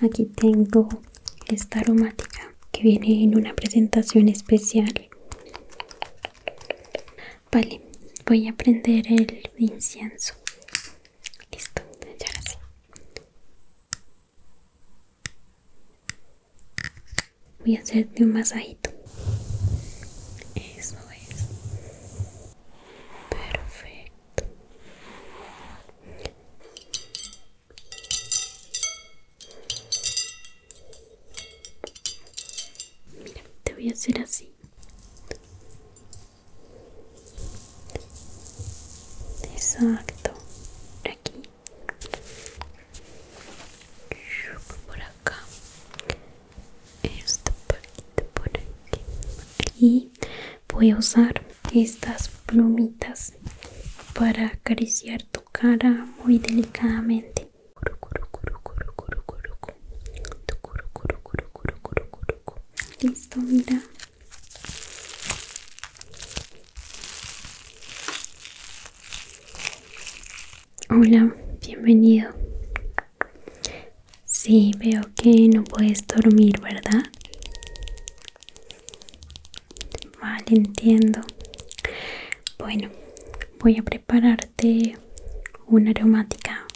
Aquí tengo esta aromática que viene en una presentación especial. Vale, voy a prender el incienso. Listo, Voy a hacerte un masajito. Eso es. Perfecto. Mira, te voy a hacer así. Exacto. Aquí. Por acá. Esta parte por aquí. Aquí voy a usar estas plumitas para acariciar tu cara muy delicadamente listo mira hola bienvenido Sí, veo que no puedes dormir, ¿verdad? Vale, entiendo. Bueno, voy a prepararte una aromática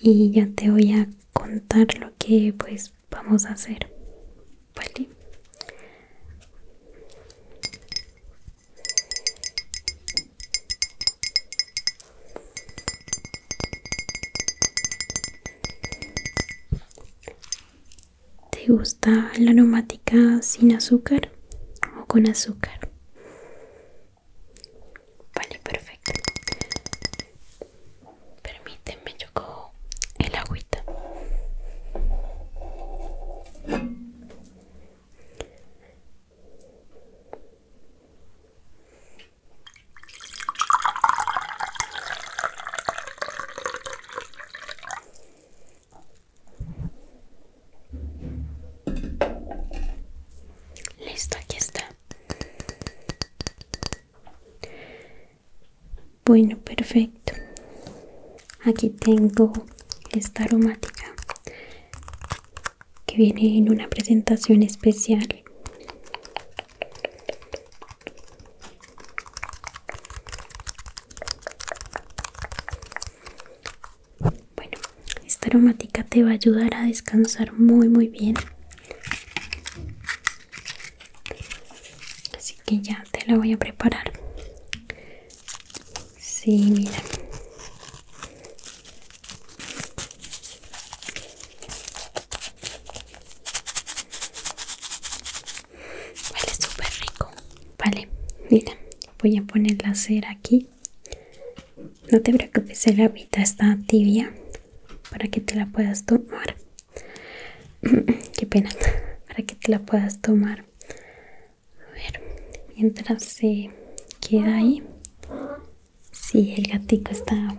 y ya te voy a contar lo que pues vamos a hacer. Vale. ¿Te gusta la aromática sin azúcar o con azúcar? Vale, perfecto. Permíteme, yo cojo el agüita. Listo, aquí está. Bueno, perfecto. Aquí tengo esta aromática que viene en una presentación especial bueno, esta aromática te va a ayudar a descansar muy muy bien. Así que ya te la voy a preparar. Sí, mira. Vale, súper rico. Vale, mira, voy a poner la cera aquí. No te preocupes, el agüita está tibia para que te la puedas tomar. Qué pena, para que te la puedas tomar. A ver, mientras se queda ahí, si el gatito está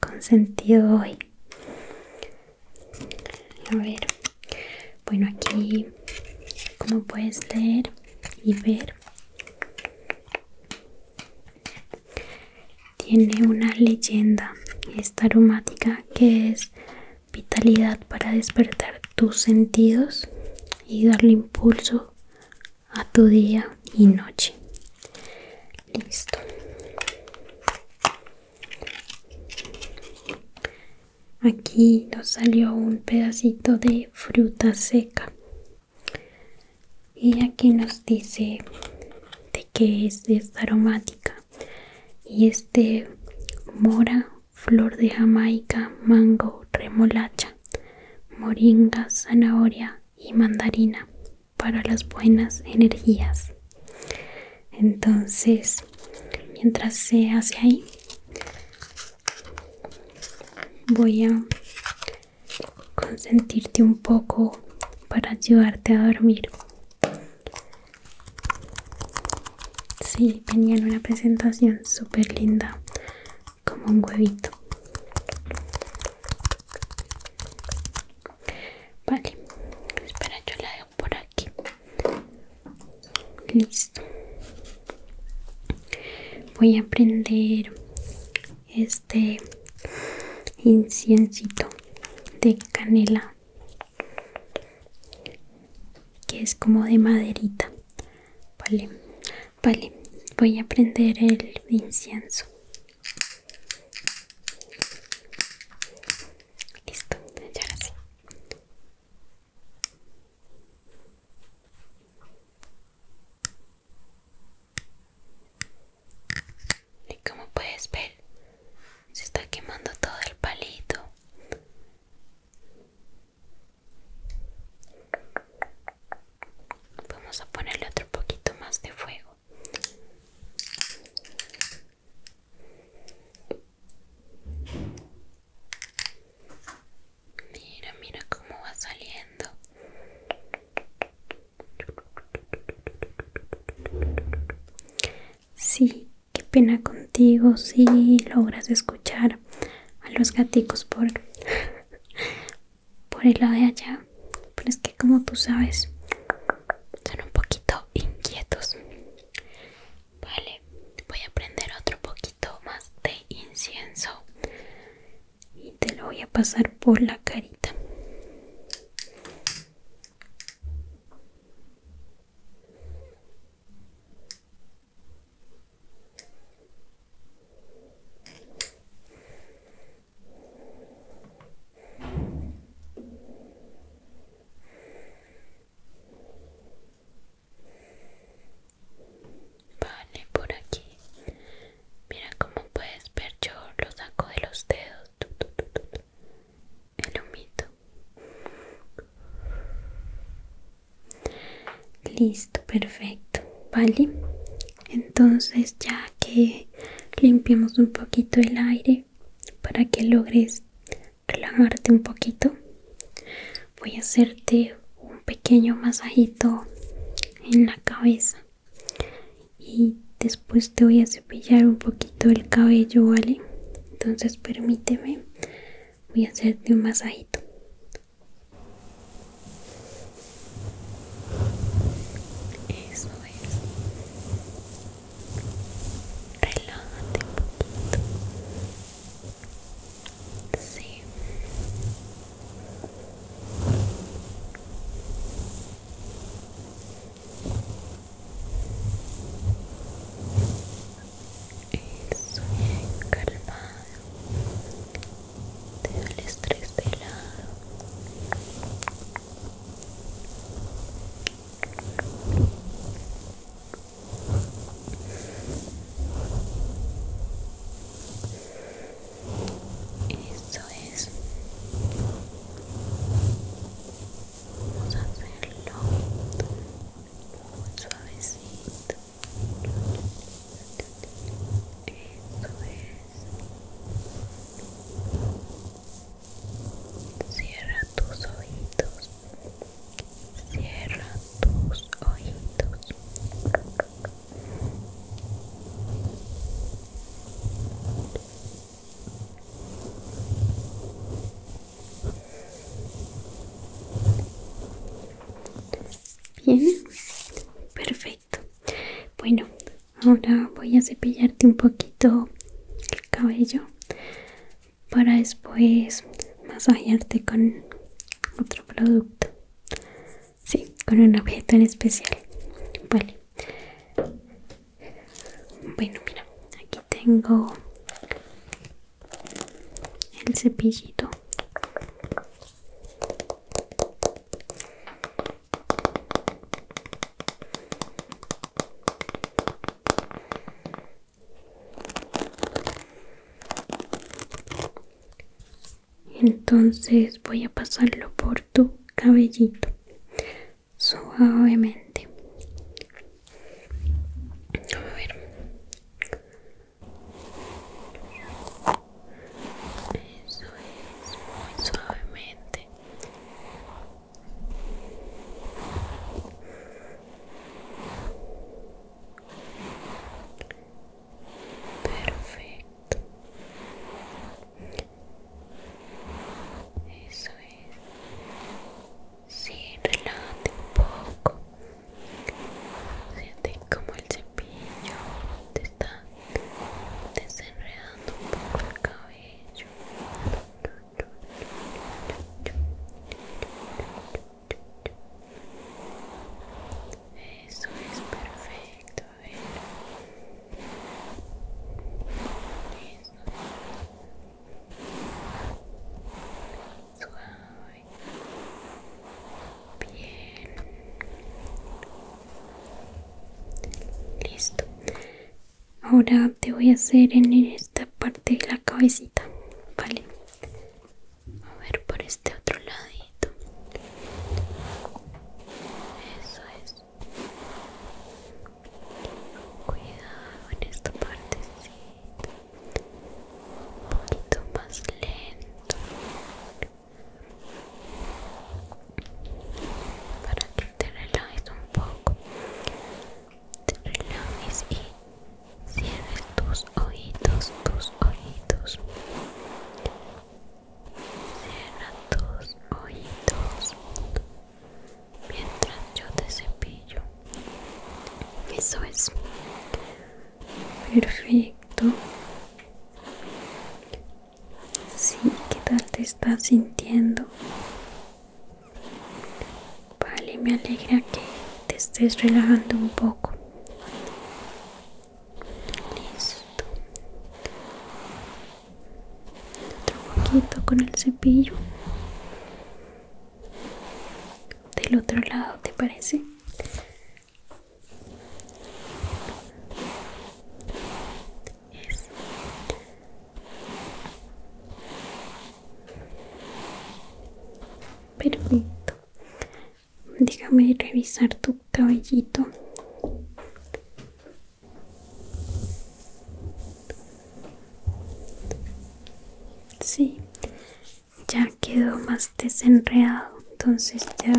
consentido hoy. A ver, bueno aquí como puedes leer y ver, tiene una leyenda esta aromática que es vitalidad para despertar tus sentidos y darle impulso a tu día y noche. Listo. Aquí nos salió un pedacito de fruta seca. Y aquí nos dice de qué es esta aromática. Y este mora, flor de jamaica, mango, remolacha, moringa, zanahoria y mandarina para las buenas energías entonces mientras se hace ahí voy a consentirte un poco para ayudarte a dormir Si, tenían una presentación súper linda como un huevito Vale, espera, yo la dejo por aquí. Listo. Voy a prender este inciencito de canela que es como de maderita. Vale, Vale, voy a prender el incienso. Listo, ya echar así Y como puedes ver, se está quemando todo el palito. Vamos a ponerle otro poquito más de fuego. Mira, mira cómo va saliendo. Sí, qué pena contigo si sí, logras escuchar a los gaticos por por el lado de allá pero es que como tú sabes son un poquito inquietos vale voy a prender otro poquito más de incienso y te lo voy a pasar por la carita Vale, por aquí. Mira cómo puedes ver, yo lo saco de los dedos. El humito. Listo, perfecto. Vale, entonces ya que limpiamos un poquito el aire para que logres relajarte un poquito voy a hacerte un pequeño masajito en la cabeza y después te voy a cepillar un poquito el cabello vale entonces permíteme voy a hacerte un masajito eso es. Relájate un Sí. Eso, calmado de el estrés de lado eso es vamos a hacerlo muy suavecito eso es Cierra tus ojitos. Cierra tus ojitos. Bien, perfecto. Bueno, ahora voy a cepillarte un poquito el cabello para después masajearte con otro producto. Sí, con un objeto en especial. Vale. Bueno, mira, aquí tengo el cepillito entonces voy a pasarlo por tu cabellito suavemente. Eso es, muy suavemente. Perfecto. Eso es. Sí, relájate un poco. Siente como el cepillo te está desenredando un poco el cabello eso es perfecto a suave bien listo ahora te voy a hacer en esta parte de la cabecita vale a ver por este otro ladito eso es cuidado en esta parte, un poquito más lento para que te relajes un poco te relajes y cierres tus ojitos tus ojitos cierra tus ojitos mientras yo te cepillo eso es perfecto Sí, ¿qué tal te estás sintiendo? Vale, me alegra que te estés relajando un poco. Listo. Otro poquito con el cepillo. Del otro lado, ¿te parece? perfecto déjame revisar tu cabellito sí ya quedó más desenredado entonces ya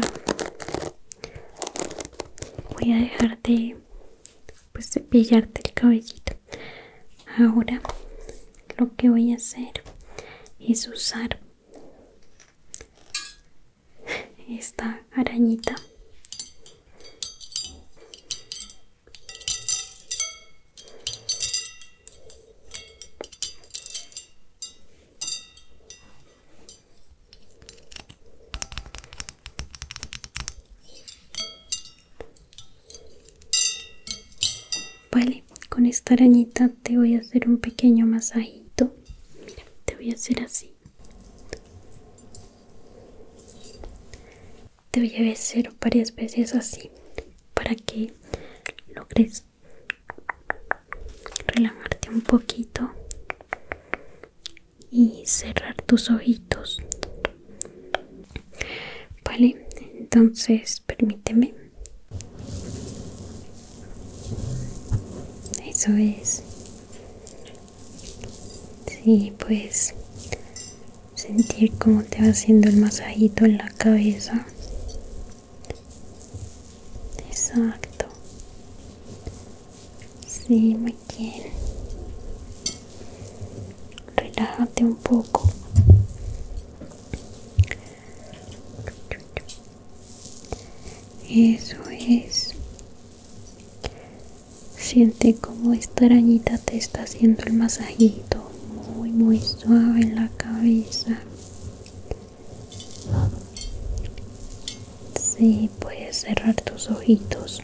voy a dejar de pues cepillarte el cabellito ahora lo que voy a hacer es usar esta arañita Vale, con esta arañita te voy a hacer un pequeño masajito. Mira, te voy a hacer así. Te voy a hacer varias veces así para que lo logres relajarte un poquito y cerrar tus ojitos vale entonces permíteme eso es sí pues sentir cómo te va haciendo el masajito en la cabeza Exacto. si, me bien. Relájate un poco. Eso es. Siente como esta arañita te está haciendo el masajito muy muy suave en la cabeza si, puedes cerrar tus ojitos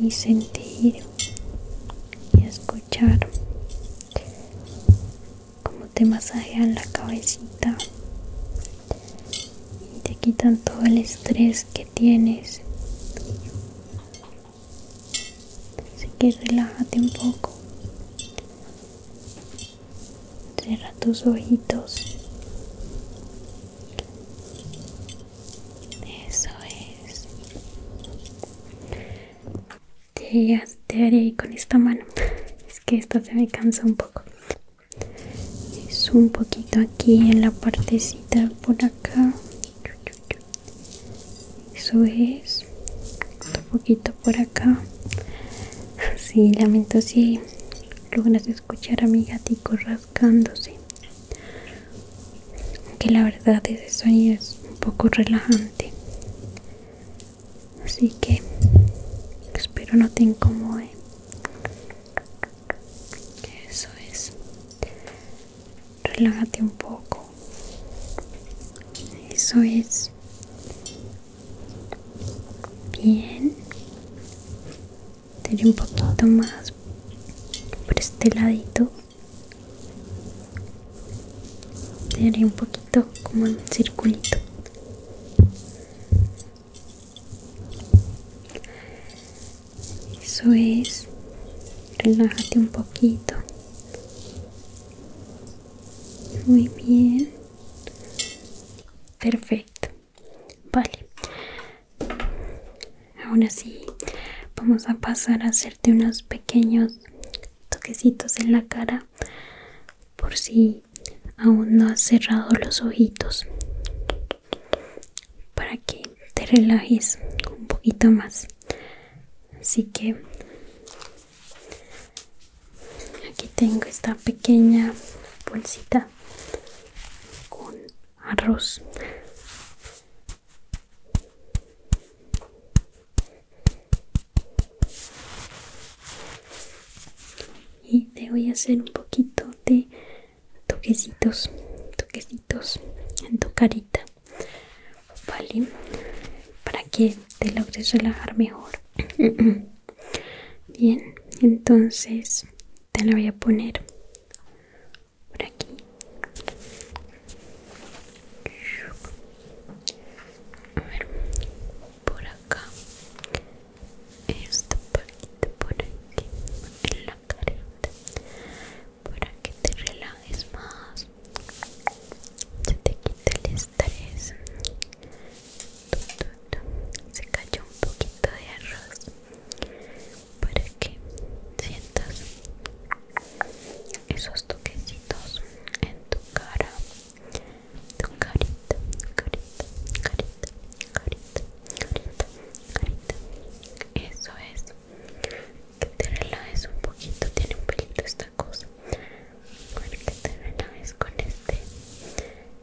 y sentir y escuchar como te masajean la cabecita y te quitan todo el estrés que tienes. Así que relájate un poco Cierra tus ojitos. Eso es. Te, haré con esta mano. Es que esta se me cansa un poco. Es un poquito aquí en la partecita por acá eso es un poquito por acá sí lamento si logras escuchar a mi gatito rascándose que la verdad ese sueño es un poco relajante así que espero no te incomode eso es relájate un poco eso es. Bien. haré un poquito más por este ladito. haré un poquito como en un circulito. Eso es. Relájate un poquito. Muy bien. Perfecto. Vale. Ahora sí, vamos a pasar a hacerte unos pequeños toquecitos en la cara por si aún no has cerrado los ojitos para que te relajes un poquito más así que Aquí tengo esta pequeña bolsita con arroz. Y te voy a hacer un poquito de toquecitos, toquecitos en tu carita ¿vale? Para que te logres relajar mejor. Bien, entonces te la voy a poner por aquí. A ver, por acá. esto poquito por aquí. En la cara Para que te relajes más se te quita el estrés se cayó un poquito de arroz para que sientas esos toquecitos en tu cara tu carita, carita, carita, carita, carita, carita eso es que te relajes un poquito, tiene un pelito esta ver con este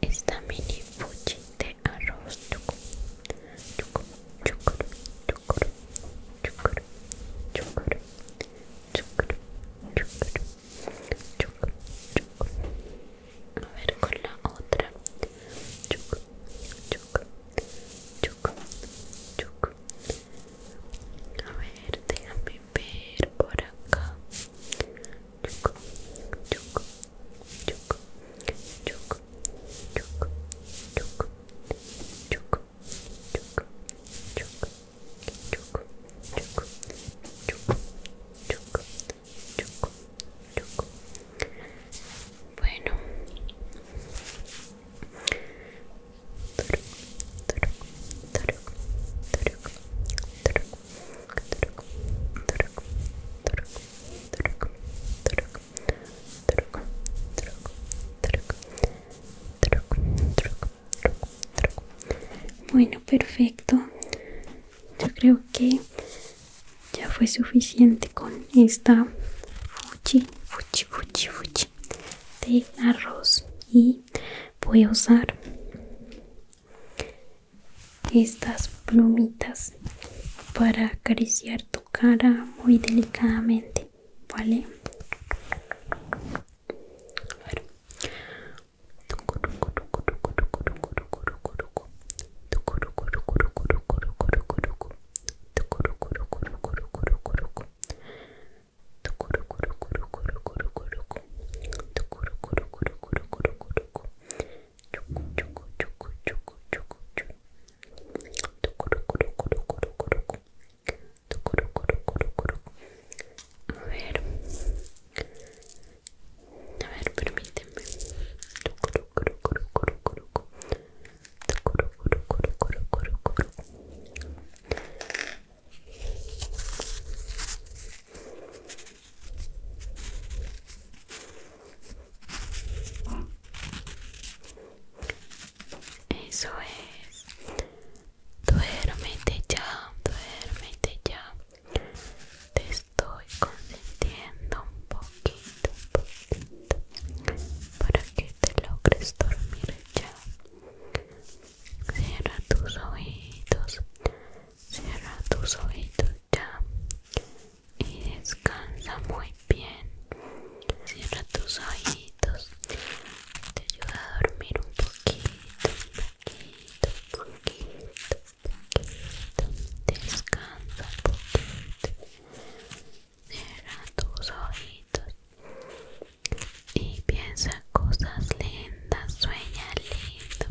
esta mini fuchi de arroz chucu, chucu, chukur, chukur, chukur, chukur, chukur, chukur, a ver con la otra chucu, chucu, chucu, a ver, déjame ver por acá. chuco, chuco, chuco, chuco, chuco, chuco, chuco, chuco, chuco, chuco, chuco, chuco, chuco, Bueno, bueno, perfecto. Yo creo que ya fue suficiente con esta fuchi, fuchi, fuchi, fuchi de arroz y voy a usar estas plumitas para acariciar tu cara muy delicadamente vale a ver, a ver, permíteme. Eso es. Duérmete ya, duérmete ya. Te estoy consentiendo un poquito, un poquito para que te logres dormir ya. Cierra tus ojitos, cierra tus ojitos ya y descansa muy bien. Cierra tus ojitos, te ayuda a dormir un poquito, un poquito, un poquito, un poquito. Descansa un poquito. Cierra tus ojitos y piensa cosas lindas, sueña lindo.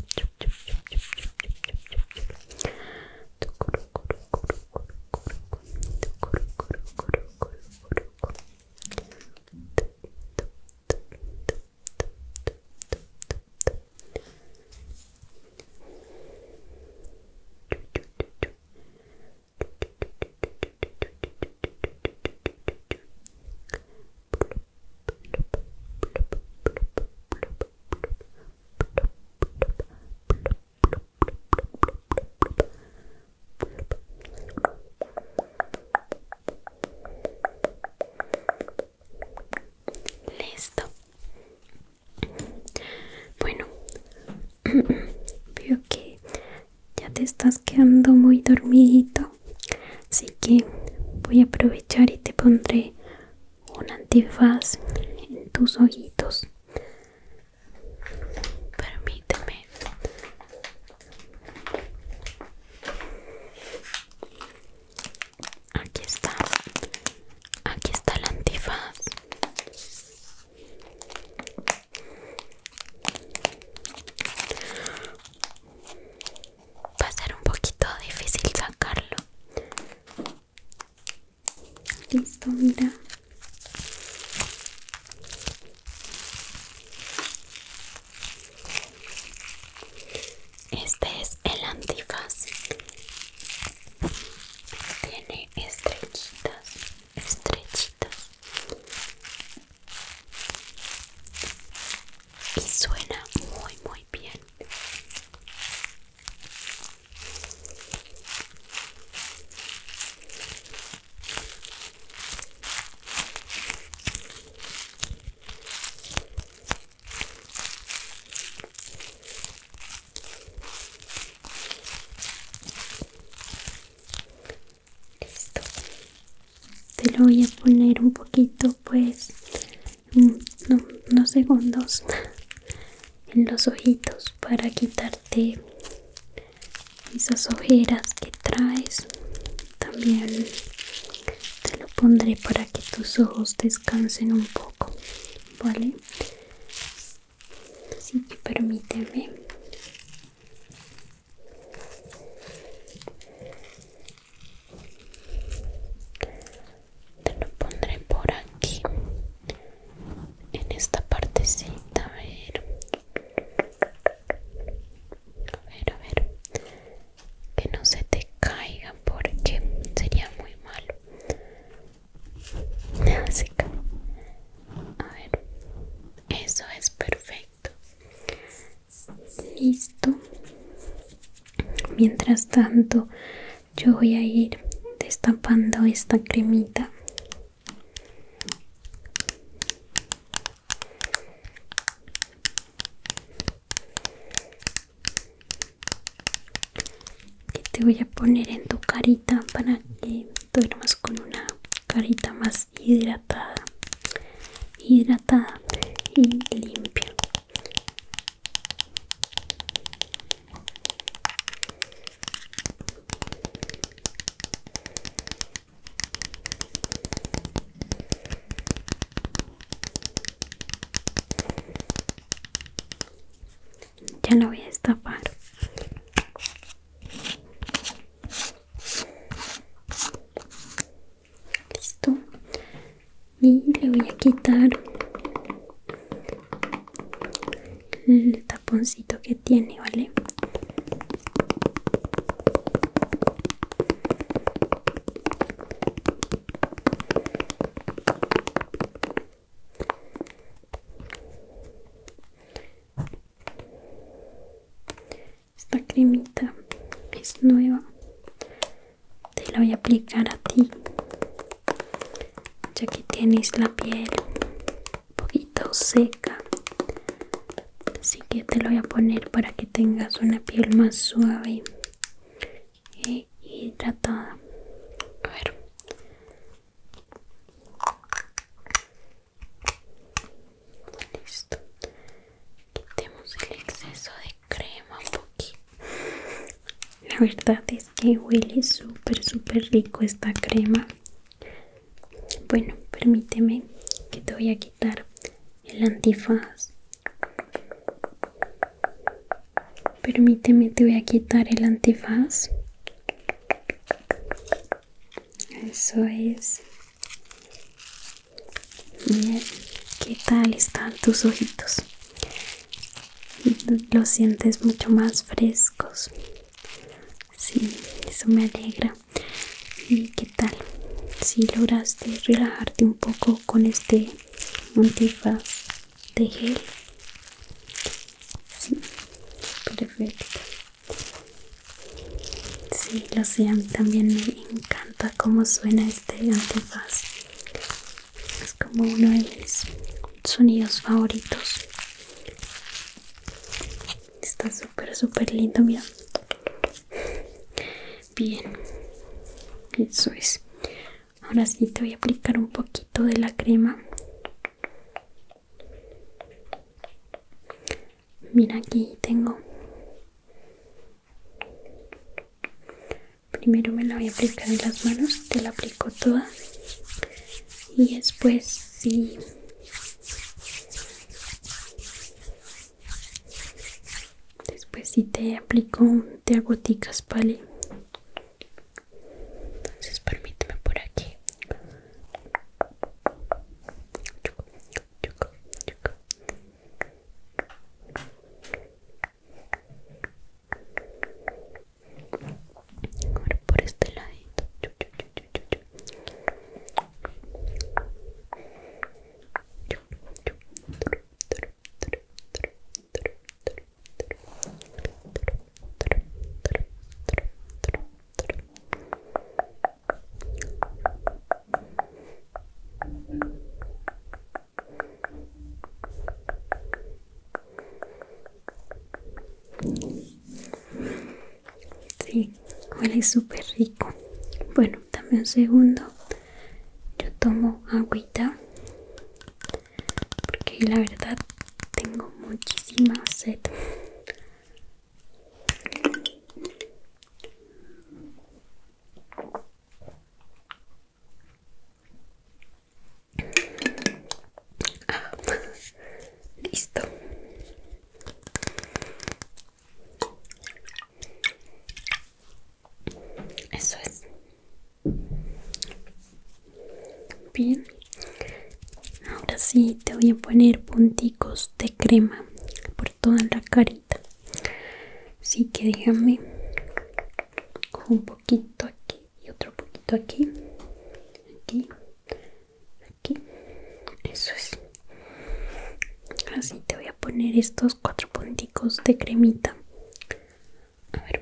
Listo. Bueno, veo que ya te estás quedando muy dormidito así que voy a aprovechar y te pondré un antifaz en tus ojitos permíteme aquí está aquí está el antifaz Va a ser un poquito difícil sacarlo. Listo, mira. Este es el antifaz. Tiene estrellitas estrechita y suena muy muy bien listo te lo voy a poner un poquito pues unos mm, segundos en los ojitos para quitarte esas ojeras que traes también te lo pondré para que tus ojos descansen un poco vale Así que permíteme. Te lo pondré por aquí. En esta partecita, a ver. A ver, a ver. Que no se te caiga porque sería muy malo. a ver eso es perfecto listo mientras tanto yo voy a ir destapando esta cremita que te voy a poner en tu carita para que con una carita más hidratada hidratada y limpia ya lo voy a destapar Listo. Y le voy a quitar el taponcito que tiene, ¿vale? Esta cremita es nueva. Te la voy a aplicar a ti. Ya que tienes la piel un poquito seca. Así que te lo voy a poner para que tengas una piel más suave e hidratada. A ver. Listo. Quitemos el exceso de crema un poquito. La verdad es que huele súper, súper rico esta crema. Bueno, permíteme que te voy a quitar el antifaz. Permíteme, te voy a quitar el antifaz. Eso es. ¿qué tal están tus ojitos? Los sientes mucho más frescos. Sí, eso me alegra. ¿Y qué tal? Si lograste relajarte un poco con este antifaz de gel. Sí, perfecto. Sí, lo sé, a mí también me encanta cómo suena este antefaz Es como uno de mis sonidos favoritos. Está súper, súper lindo, mira. Bien, eso es. Ahora sí te voy a aplicar un poquito de la crema Mira aquí tengo. Primero me la voy a aplicar en las manos, te la aplico toda y después si Después si te aplico, te hago ¿vale? Entonces permíteme por aquí. por este ladito. Sí, huele súper rico. Bueno, dame un segundo. Yo tomo agüita. Porque la verdad tengo muchísima sed. Ah, listo. Eso es. Bien, ahora sí te voy a poner punticos de crema por toda la carita. Así que déjame un poquito aquí y otro poquito aquí, aquí, aquí. Eso es. Así te voy a poner estos cuatro punticos de cremita. A ver.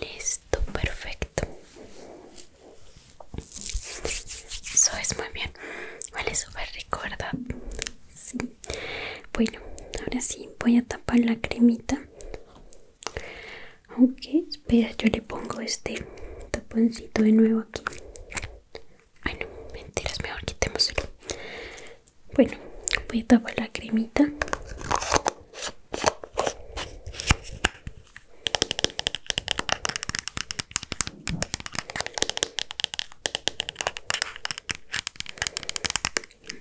Listo, perfecto. Eso es muy bien. Huele súper rico, ¿verdad? Bueno, ahora sí voy a tapar la cremita. Aunque, espera, yo le pongo este taponcito de nuevo aquí. Ay, no, mentiras, mejor quitémoselo. Bueno, voy a tapar la cremita.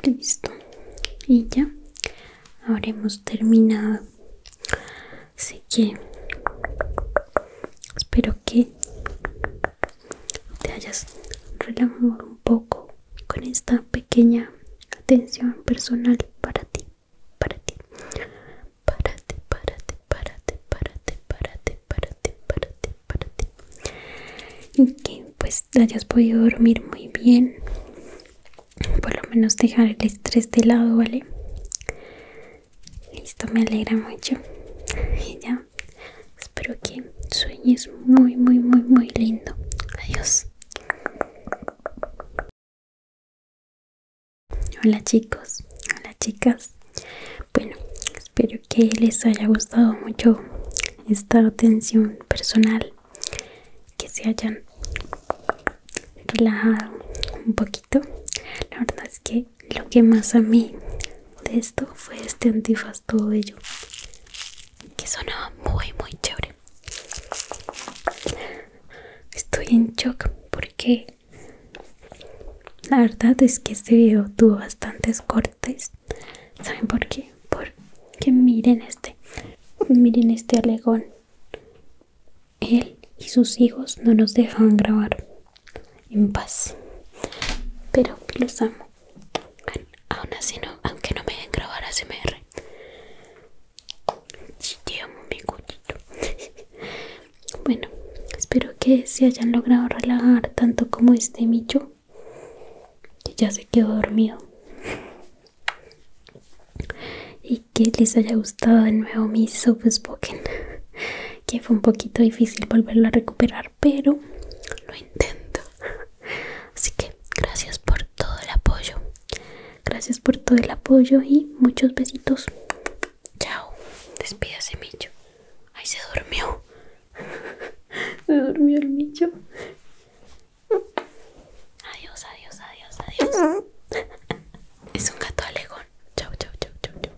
Listo. Y ya Ahora hemos terminado. Así que espero que te hayas relajado un poco con esta pequeña atención personal para ti, para ti. para para para ti, ti, ti, para ti, para ti, para ti, para ti Y que pues hayas podido dormir muy bien. Por lo menos dejar el estrés de lado, ¿vale? esto me alegra mucho. Y ya, espero que sueñes muy, muy, muy, muy lindo. Adiós. Hola chicos, hola chicas. Bueno, espero que les haya gustado mucho esta atención personal. Que se hayan relajado un poquito. La verdad es que lo que más a mí de esto fue este antifaz todo ello que sonaba muy muy chévere estoy en shock porque la verdad es que este video tuvo bastantes cortes saben por qué porque miren este miren este alegón él y sus hijos no nos dejan grabar en paz pero los amo aún así no aunque no me dejen grabar ASMR sí, amo mi bueno espero que se hayan logrado relajar tanto como este micho que ya se quedó dormido y que les haya gustado de nuevo mi Soft Spoken que fue un poquito difícil volverlo a recuperar, pero lo intento. Así que gracias por todo el apoyo. Gracias por todo el apoyo y muchos besitos. Chao. Despídase, Micho. Ay, se durmió. se durmió el Micho. Adiós, adiós, adiós, adiós. es un gato alegón. Chao, chao, chao, chao, chao.